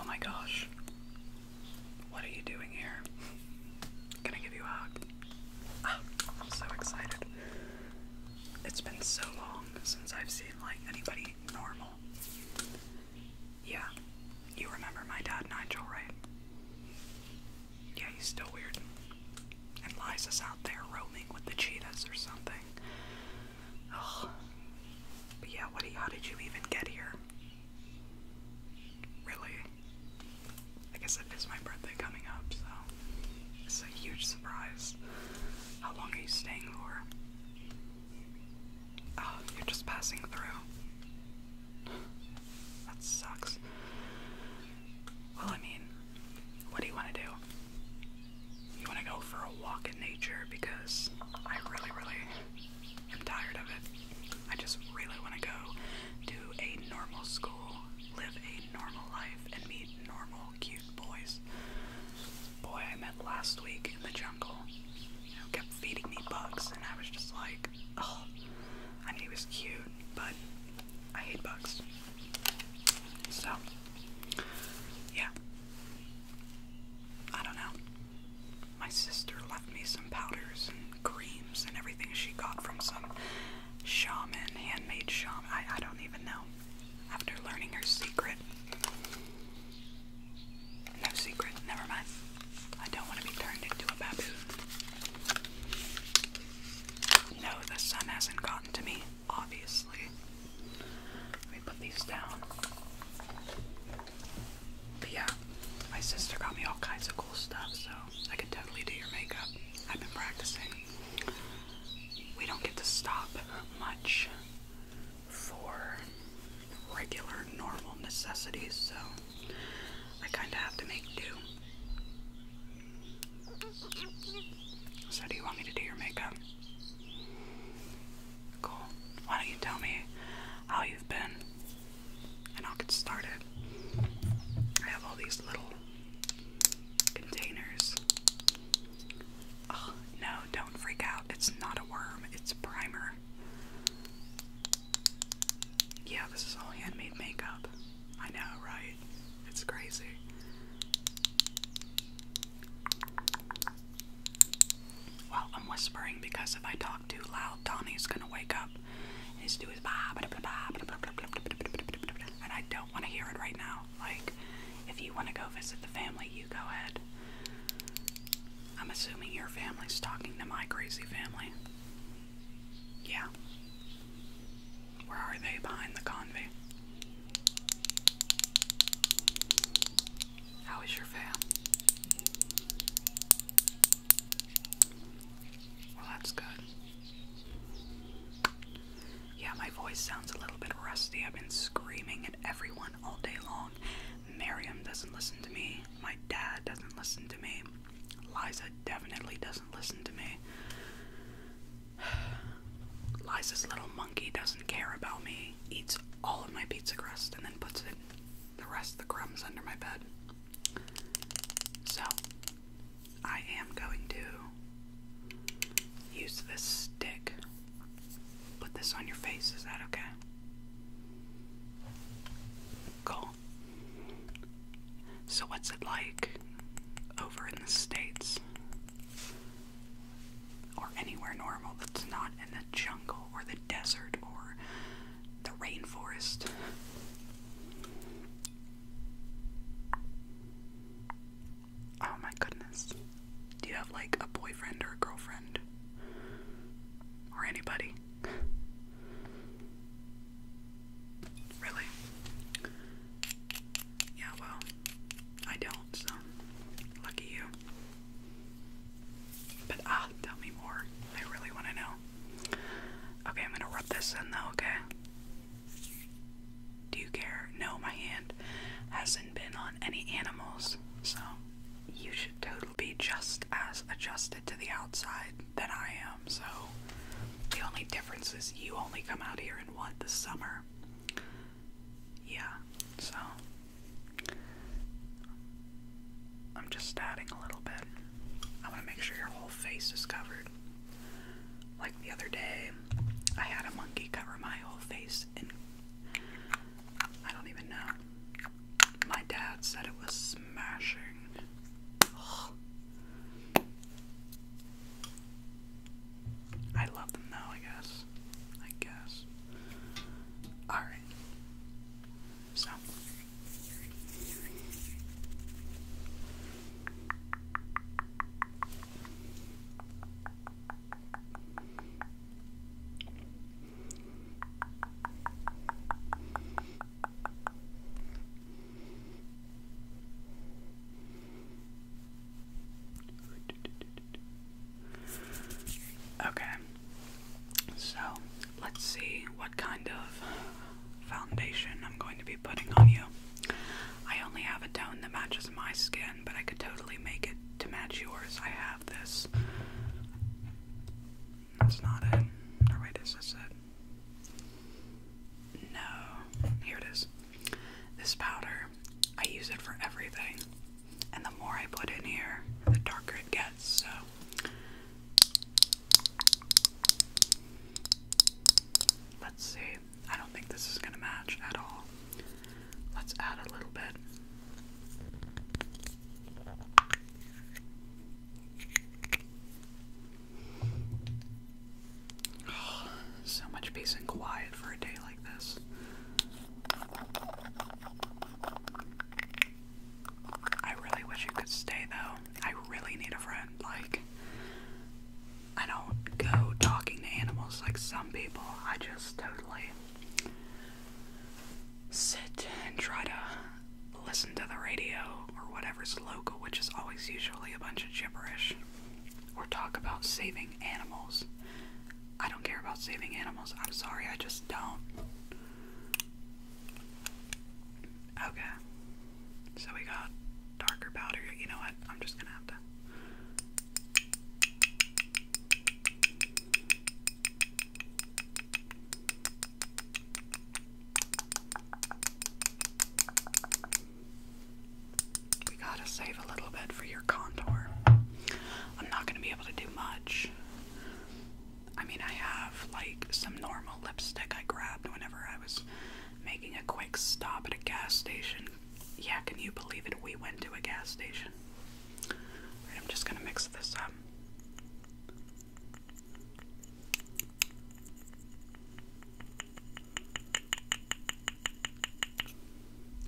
Oh my gosh. What are you doing here? Gonna give you a hug? Ah, I'm so excited. It's been so long since I've seen like anybody normal. Yeah. You remember my dad Nigel, right? Yeah, he's still weird. And Liza's out there roaming with the cheetahs or something. Ugh. But yeah, what? How did you even get here? Really? I guess it is my birthday coming up, so it's a huge surprise. How long are you staying for? you're just passing through that sucks. Well, I mean, what do you want to do? You want to go for a walk in nature because I really, really am tired of it. I just really want to go to a normal school, live a normal life, and meet normal, cute boys. Boy, I met last week in the jungle. You know, kept feeding me bugs, and I was just like, Oh, I he was cute, but I hate bugs. So, yeah. I don't know. My sister left me some powders and creams and everything she got from some shaman, handmade shaman. I, I don't even know. After learning her secret. No secret, never mind. I don't want to be turned into a baboon. No, the sun hasn't gotten to me, obviously. Let me put these down. But yeah, my sister got me all kinds of cool stuff, so I could totally do your makeup. I've been practicing. We don't get to stop much for regular, normal necessities, so I kind of have to make do. So, do you want me to do your makeup? Cool. Why don't you tell me how you've been and I'll get started? I have all these little containers. Oh, no, don't freak out. It's not a worm, it's primer. Yeah, this is all handmade makeup. I know, right? It's crazy. Well, I'm whispering because if I talk too loud, Donnie's gonna wake up and he's doing and I don't want to hear it right now. Like, if you want to go visit the family, you go ahead. I'm assuming your family's talking to my crazy family. Yeah. Where are they behind the convey? How is your fam? Well, that's good. Yeah, my voice sounds a little bit rusty. I've been screaming at everyone all day long. Miriam doesn't listen to me. My dad doesn't listen to me. Liza definitely doesn't listen to me. Liza's little monkey doesn't care about me, eats all of my pizza crust, and then puts it, the rest of the crumbs under my bed. So, I am going to use this stick. Put this on your face, is that okay? Cool. So, what's it like over in the States? Or anywhere normal that's not in the jungle or the desert or the rainforest? Oh my goodness. Do you have like a boyfriend or a girlfriend? Or anybody? Really? Yeah, well, I don't, so lucky you. But ah, tell me more. I really want to know. Okay, I'm gonna rub this in though, okay? Do you care? No, my hand hasn't been on any animals, so you should totally be just as adjusted to the outside than I am. So the only difference is you only come out here in what the summer. Yeah. So I'm just adding a little bit. I want to make sure your whole face is covered. Like the other day, I had a monkey cover my whole face, and I don't even know. My dad said it was smashing. I love them though, I guess. I guess. Alright. So. Okay, so let's see what kind of foundation I'm going to be putting on you. I only have a tone that matches my skin, but I could totally make it to match yours. I have this. That's not it. Or it? No. Here it is. This powder, I use it for everything. And the more I put in here, the darker it gets. So. Let's see. I don't think this is going to match at all. Let's add a little bit. Oh, so much peace and quiet for a day like this. I really wish you could stay though. I really need a friend. Like, I don't go talking to animals like some people. I just totally sit and try to listen to the radio or whatever's local, which is always usually a bunch of gibberish, or talk about saving animals. I don't care about saving animals. I'm sorry, I just don't. Okay. So we got darker powder. You know what? I'm just gonna have to. We gotta save a little bit for your contour. I'm not gonna be able to do much. I mean, I have like some normal lipstick I grabbed whenever I was making a quick stop at a gas station. Yeah, can you believe it? We went to a gas station. I'm just gonna mix this up.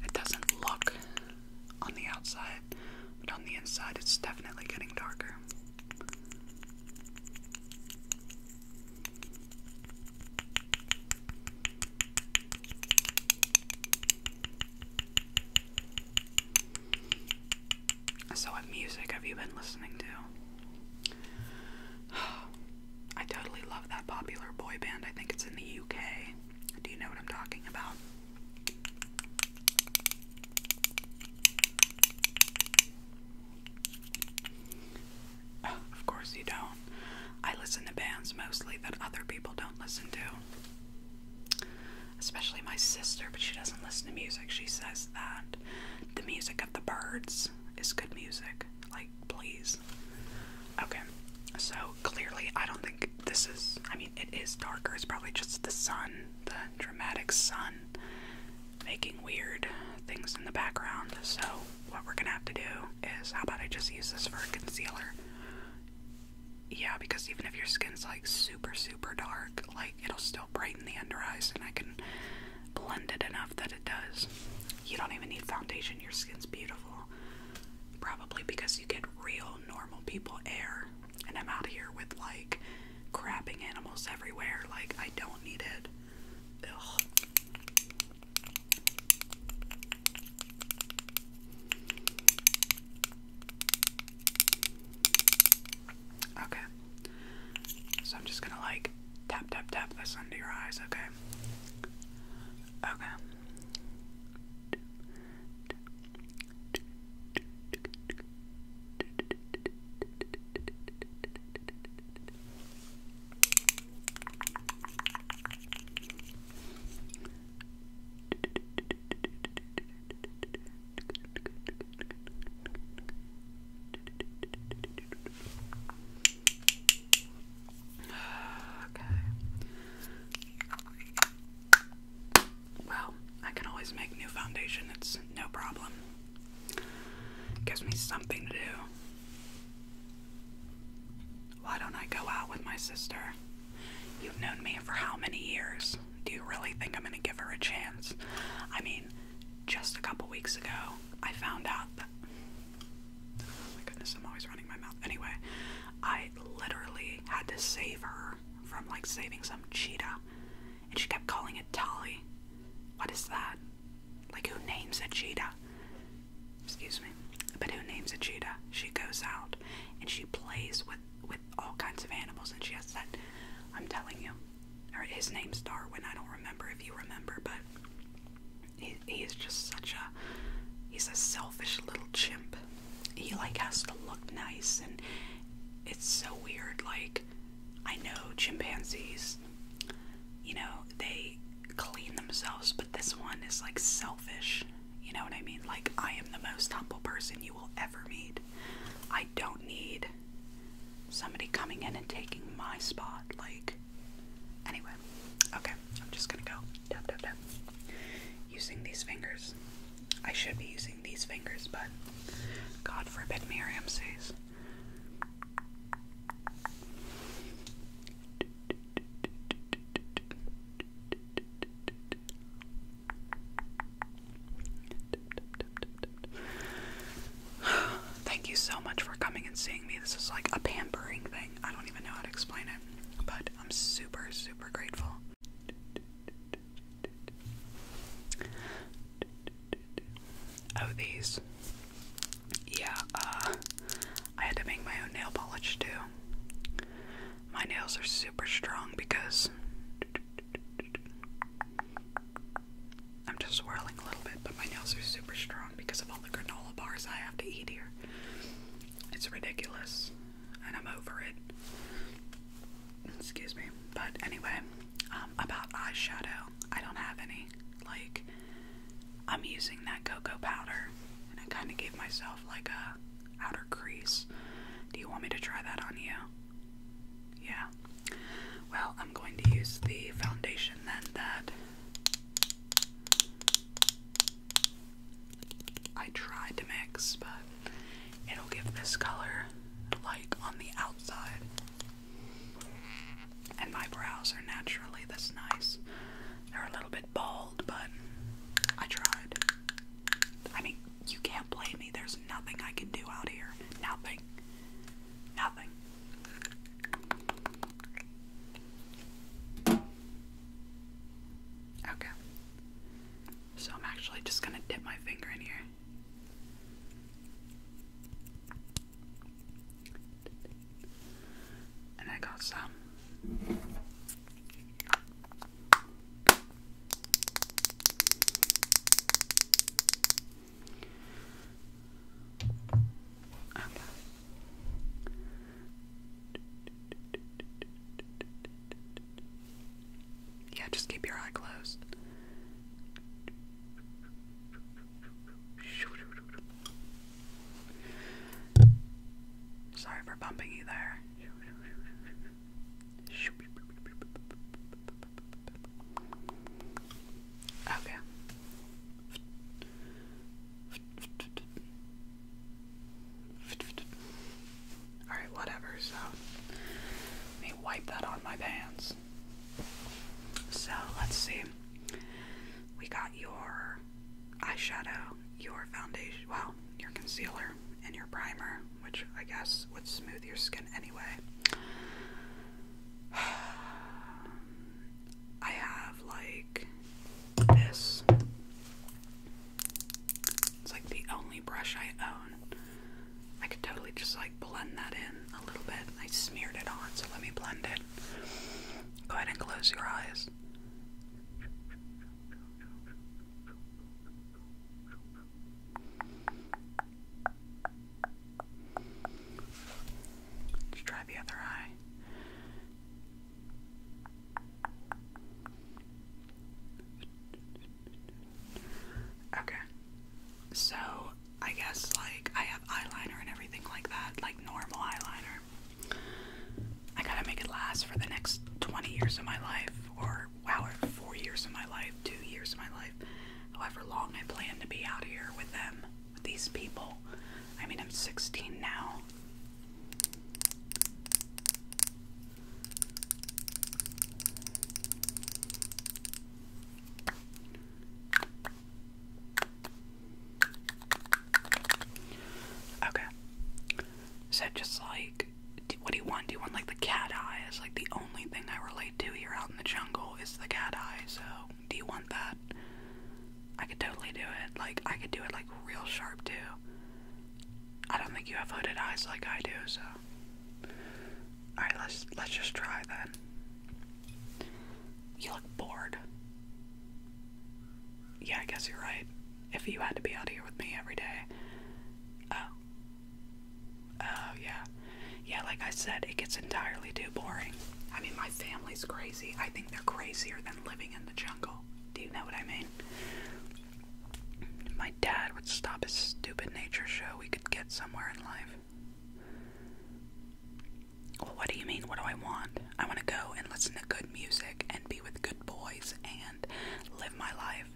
It doesn't look on the outside, but on the inside, it's definitely getting darker. So, what music have you been listening to? I totally love that popular boy band. I think it's in the UK. Do you know what I'm talking about? of course you don't. I listen to bands mostly that other people don't listen to. Especially my sister, but she doesn't listen to music. She says that. The music of the birds is good music. Like, please. Okay, so clearly, I don't think this is. I mean, it is darker. It's probably just the sun, the dramatic sun, making weird things in the background. So, what we're gonna have to do is how about I just use this for a concealer? Yeah, because even if your skin's like super, super dark, like it'll still brighten the under eyes, and I can blend it enough that it does. You don't even need foundation, your skin's beautiful. Probably because you get real, normal people air, and I'm out here with like crapping animals everywhere, like, I don't need it. Okay. So I'm just gonna like tap, tap, tap this under your eyes, okay? Okay. Okay. Well, I can always make new foundation, it's no problem. Gives me something to do. Why don't I go out with my sister? You've known me for how many years? Do you really think I'm gonna give her a chance? I mean, just a couple weeks ago, I found out that. Oh my goodness, I'm always running my mouth. Anyway, I literally had to save her from like saving some cheetah, and she kept calling it Tolly. What is that? Like, who names a cheetah? Excuse me. But who names a cheetah? She goes out and she plays with with all kinds of animals, and she has that. I'm telling you, or his name's Darwin. I don't remember if you remember, but he, he is just such a he's a selfish little chimp. He like has to look nice, and it's so weird. Like I know chimpanzees, you know, they clean themselves, but this one is like selfish. You know what I mean? Like I am the most humble person you will ever meet. I don't need somebody coming in and taking my spot. Like, anyway, okay, I'm just gonna go Using these fingers. I should be using these fingers, but God forbid Miriam sees. Thank you so much for coming and seeing me. This is like a pampering thing. I don't even know how to explain it, but I'm super, super grateful. Oh, these. Yeah, uh, I had to make my own nail polish too. My nails are super strong because I'm just swirling a little bit, but my nails are super strong because of all the granola bars I have to eat here. It's ridiculous, and I'm over it. Excuse me. But anyway, um, about eyeshadow, I don't have any. Like, I'm using that cocoa powder, and I kind of gave myself like a outer crease. Do you want me to try that on you? Yeah. Well, I'm going to use the foundation then that I tried to mix, but it'll give this color like on the outside. And my brows are naturally this nice. They're a little bit bald, but I tried. I mean, you can't blame me. There's nothing I can do out here. Nothing. Nothing. Okay. So I'm actually just going to dip my finger in here. And I got some. Yeah, just keep your eye closed. Sorry for bumping you there. Okay. Alright, whatever, so let me wipe that on my pants. So let's see. We got your eyeshadow, your foundation, well, your concealer, and your primer, which I guess would smooth your skin anyway. I have like this. It's like the only brush I own. I could totally just like blend that in a little bit. I smeared it on, so let me blend it. Go ahead and close your eyes. Let's try the other eye. Okay. So, I guess like I have eyeliner and everything like that, like normal eyeliner. I gotta make it last for the next 20 years of my life, or wow, four years of my life, two years of my life however long I plan to be out here with them, with these people. I mean, I'm 16 now. Okay. So just like, what do you want? Do you want like the cat eyes, like the only thing I relate to here out in the jungle is the cat eye, so do you want that? I could totally do it. Like, I could do it, like, real sharp, too. I don't think you have hooded eyes like I do, so. Alright, let's, let's just try then. You look bored. Yeah, I guess you're right. If you had to be out here with me every day. Oh. Oh, yeah. Yeah, like I said, it gets entirely too boring. I mean, my family's crazy. I think they're crazier than living in the jungle. Do you know what I mean? my dad would stop his stupid nature show, we could get somewhere in life. Well, what do you mean? What do I want? I want to go and listen to good music and be with good boys and live my life.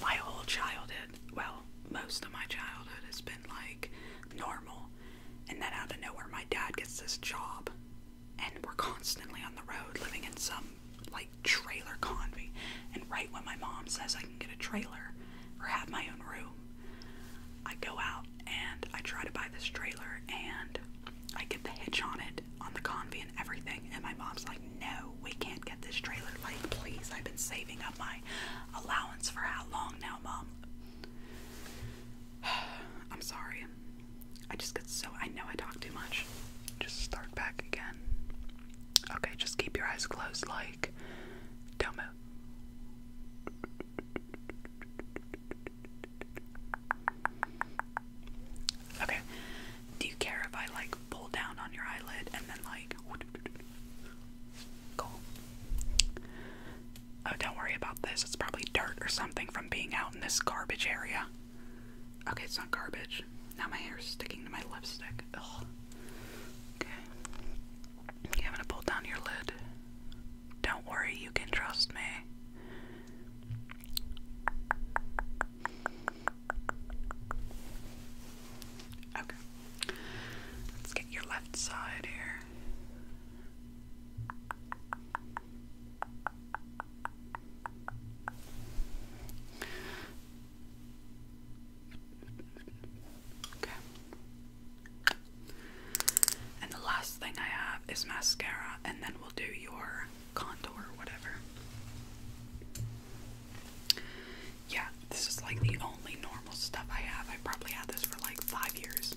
My whole childhood, well, most of my childhood has been like normal. And then out of nowhere, my dad gets this job, and we're constantly on the road living in some like trailer convey. And right when my mom says I can get a trailer or have my own room, I go out and I try to buy this trailer and I get the hitch on it on the convey and everything. And my mom's like, No, we can't get this trailer. Like, please, I've been saving my allowance for how long now, Mom? I'm sorry. I just get so. I know I talk too much. Just start back again. Okay, just keep your eyes closed, like. Don't move. Okay. Do you care if I like pull down on your eyelid and then like Oh, don't worry about this. It's probably dirt or something from being out in this garbage area. Okay, it's not garbage. Now my hair's sticking to my lipstick. Ugh. Okay. You having to pull down your lid? Don't worry, you can trust me. Okay. Let's get your left side here. Okay. And the last thing I have is mascara, and then we'll do your contour, or whatever yeah, this is like the only normal stuff I have. I probably had this for like five years.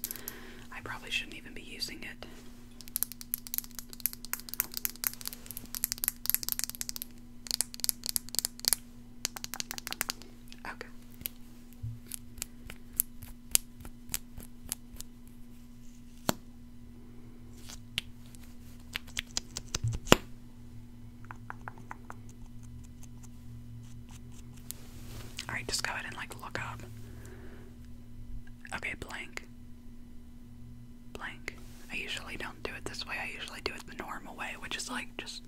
I probably shouldn't even be using it. Okay. Alright, just go ahead and like look up. Okay, blank. Blank. I usually don't do it this way. I usually do it the normal way, which is like just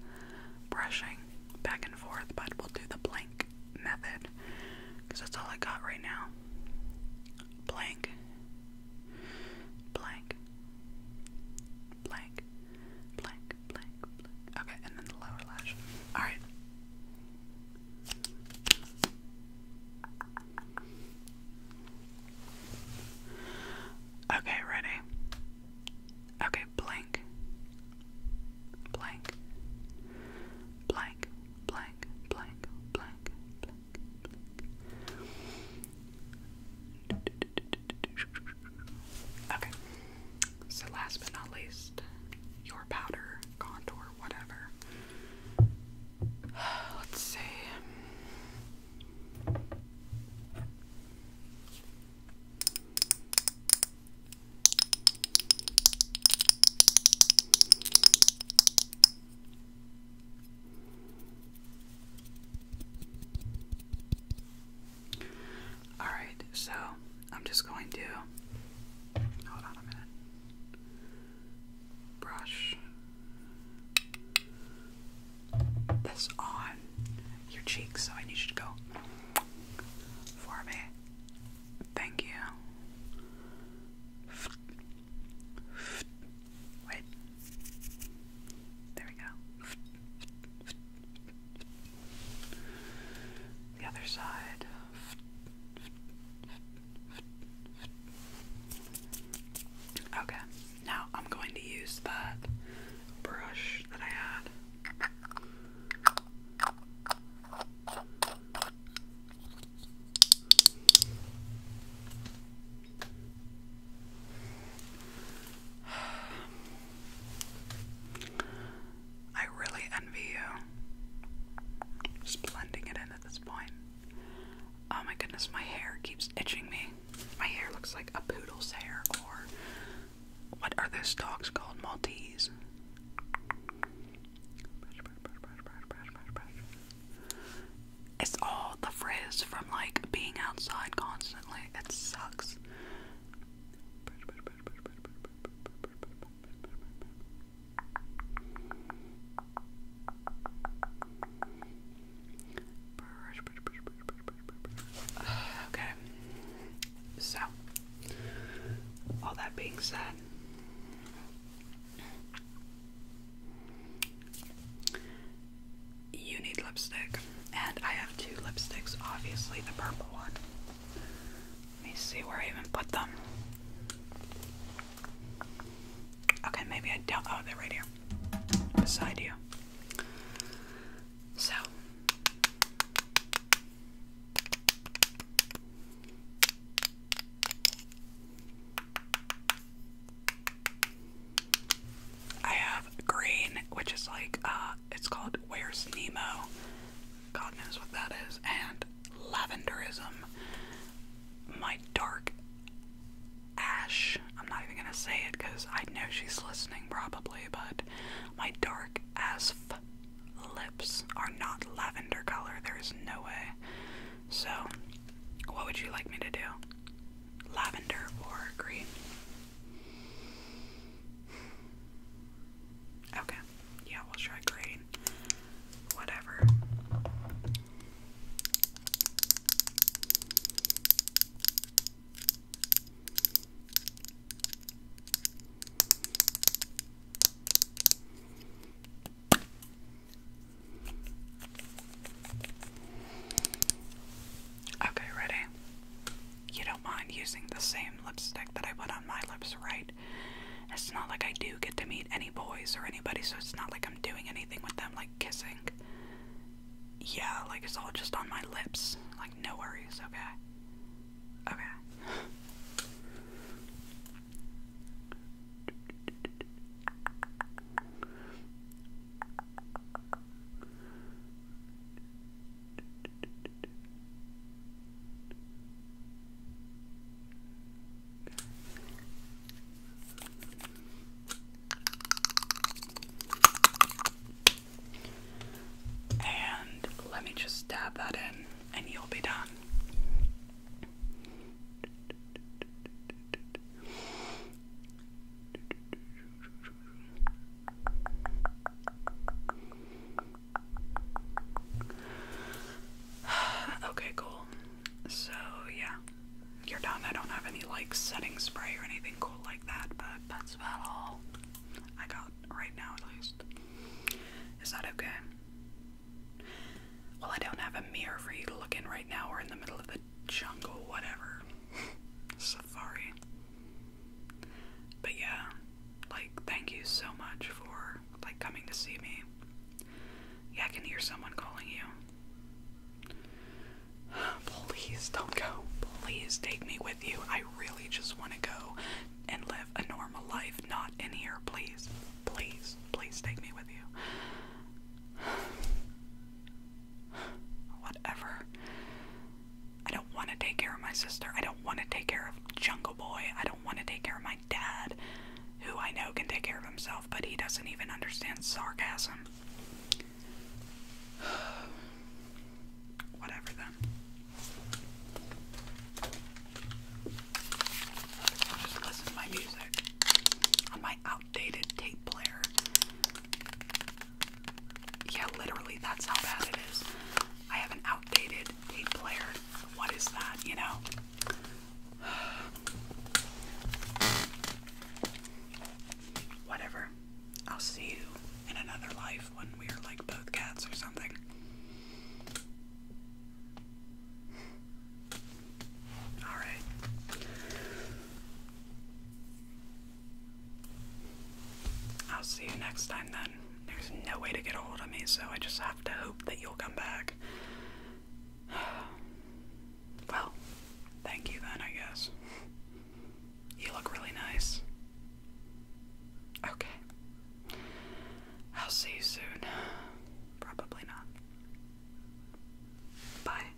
brushing back and forth, but we'll do the blank method because that's all I got right now. Blank. Blank. Blank. Blank. Okay, and then the lower lash. Alright. Okay, ready? Okay, blank, blank, blank, blank, blank, blank. Okay. So last but not least, your powder, contour, whatever. Let's see. Alright, so I'm just going to. Hold on a minute. Brush this on your cheeks, so I need you to go for me. Thank you. Wait. There we go. The other side. Okay, now I'm going to use that brush that I had. I really envy you. Just blending it in at this point. Oh my goodness, my hair keeps itching me. My hair looks like a poodle's hair, or what are those dogs called? Maltese. It's all the frizz from like being outside constantly. It sucks. Okay. So, all that being said, you need lipstick. And I have two lipsticks, obviously the purple one. Let me see where I even put them. Okay, maybe I don't. Oh, they're right here. Beside you. So. I have green, which is like uh it's called Where's Nemo? God knows what that is. And Lavenderism. My dark ash. I'm not even gonna say it because I know she's listening probably, but my dark as lips are not lavender color. There is no way. So, what would you like me to do? Lavender or green? Okay. Yeah, we'll try green. Whatever. Okay, ready? you don't mind using the same lipstick that I put on my lips, right? It's not like I do get to meet any boys or anybody, so it's not like I'm doing anything with them, like kissing. Yeah, like it's all just on my lips. Like, no worries, okay? Okay. And let me just dab that in, and you'll be done. okay, cool. So, yeah, you're done. I don't have any like setting spray or anything cool like that, but that's about all I got right now, at least. Is that okay? Well, I don't have a mirror for you to look in right now. We're in the middle of the jungle, whatever. Safari. But yeah, like thank you so much for like coming to see me. Yeah, I can hear someone calling you. Please don't go. Please take me with you. I really just want to go and live a normal life, not in here. Please, please, please take me with you. Whatever. I don't want to take care of my sister. I don't want to take care of Jungle Boy. I don't want to take care of my dad, who I know can take care of himself, but he doesn't even understand sarcasm. Whatever then. just listen to my music on my outdated tape player. Yeah, literally, that's how bad it is. I have an outdated tape player. What is that, you know? Whatever. I'll see you in another life when we are like both cats or something. Alright. I'll see you next time then. There's no way to get a hold of me, so I just have to hope that you'll come back. Well, thank you then, I guess. You look really nice. Okay. I'll see you soon. Probably not. Bye.